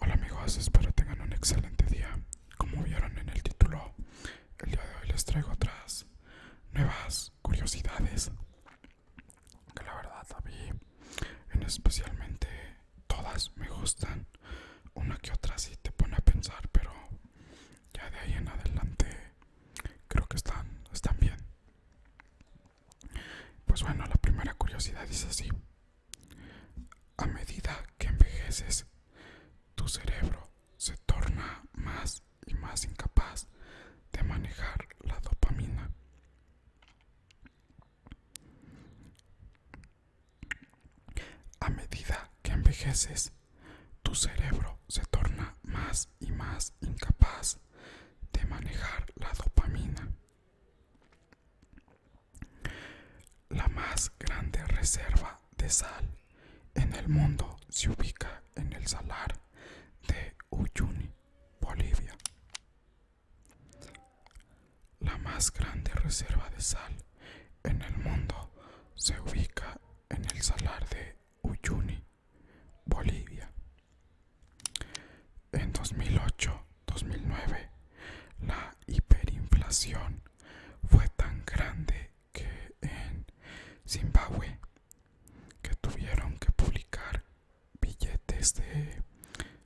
Hola amigos, espero tengan un excelente día. Como vieron en el título, el día de hoy les traigo otras nuevas curiosidades que la verdad a en especialmente todas me gustan. Una que otra sí te pone a pensar, pero ya de ahí en adelante creo que están, están bien. Pues bueno, la primera curiosidad es así. A medida que envejeces, tu cerebro se torna más y más incapaz de manejar la dopamina. A medida que envejeces, tu cerebro se torna más y más incapaz de manejar la dopamina. La más grande reserva de sal en el mundo se ubica en el salar de Uyuni, Bolivia. La más grande reserva de sal en el mundo se ubica en el salar de Uyuni, Bolivia. En 2008-2009, la hiperinflación fue tan grande que en Zimbabue que tuvieron que publicar billetes de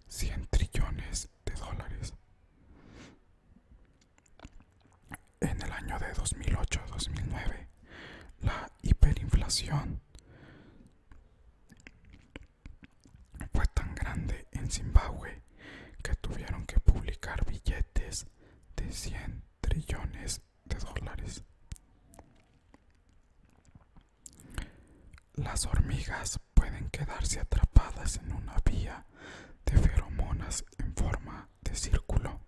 100 trillones de dólares en el año de 2008-2009, la hiperinflación fue tan grande en Zimbabue que tuvieron que publicar billetes de 100 trillones de dólares. Las hormigas pueden quedarse atrapadas en una vía de feromonas en forma de círculo,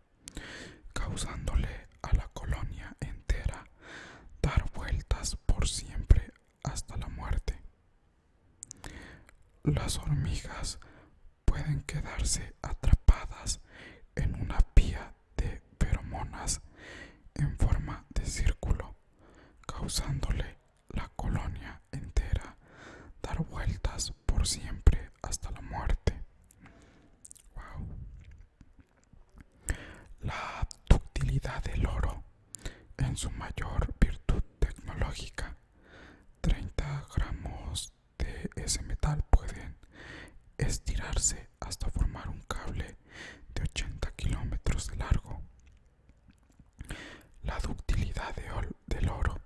causándole a la colonia entera dar vueltas por siempre hasta la muerte. Las hormigas pueden quedarse atrapadas en una pía de feromonas en forma de círculo, causándole la colonia entera, dar vueltas por siempre hasta la muerte. La ductilidad del oro, en su mayor virtud tecnológica, 30 gramos de ese metal pueden estirarse hasta formar un cable de 80 kilómetros de largo. La ductilidad del oro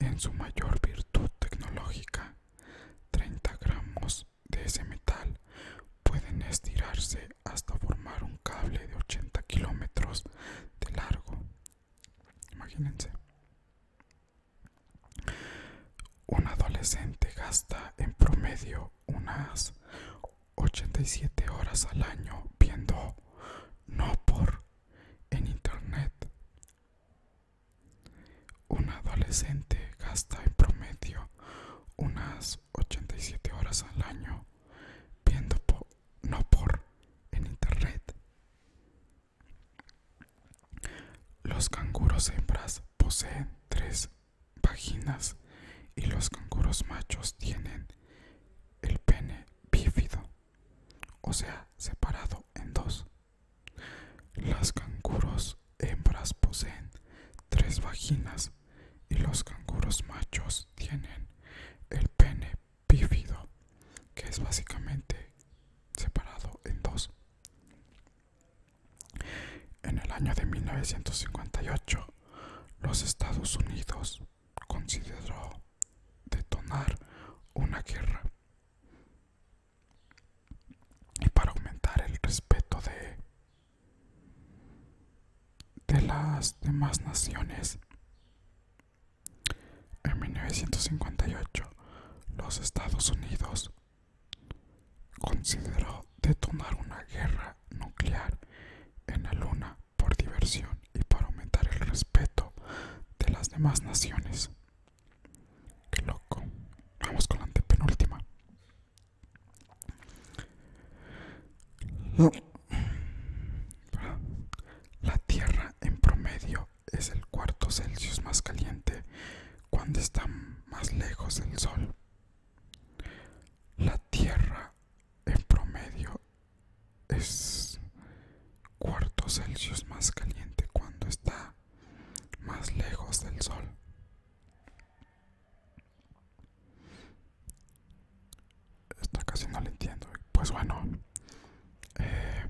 en su mayor virtud tecnológica. 30 gramos de ese metal pueden estirarse hasta formar un cable de 80 kilómetros de largo. Imagínense. Un adolescente gasta en promedio unas 87 horas al año viendo no por en Internet. Un adolescente gasta en promedio unas 87 horas al año viendo no por en Internet. Los canguros hembras poseen tres vaginas y los canguros machos tienen el pene bífido o sea, separado en dos. Las canguros hembras poseen tres vaginas y los canguros machos tienen el pene pífido, que es básicamente separado en dos. En el año de 1958, los Estados Unidos consideró detonar una guerra y para aumentar el respeto de, de las demás naciones. En 1958, los Estados Unidos consideró detonar una guerra nuclear en la Luna por diversión y para aumentar el respeto de las demás naciones. Qué loco. Vamos con la antepenúltima. La Tierra en promedio es el cuarto Celsius más caliente cuando está más lejos del Sol. La Tierra en promedio es cuarto Celsius más caliente cuando está más lejos del sol. Esta casi no lo entiendo. Pues bueno, eh,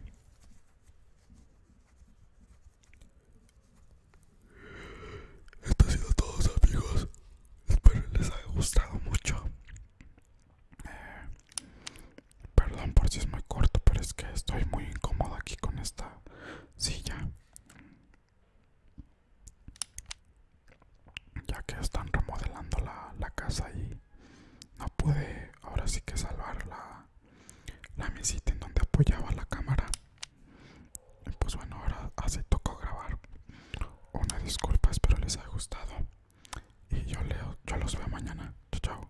esto ha sido todo, amigos. Espero les haya gustado mucho perdón por si es muy corto, pero es que estoy muy incómodo aquí con esta silla. Ya que están remodelando la, casa y no pude ahora sí que salvar la, mesita en donde apoyaba la cámara. Pues bueno, ahora así tocó grabar. Una disculpa, espero les haya gustado. Y yo, leo, yo los veo mañana. Chao, chao.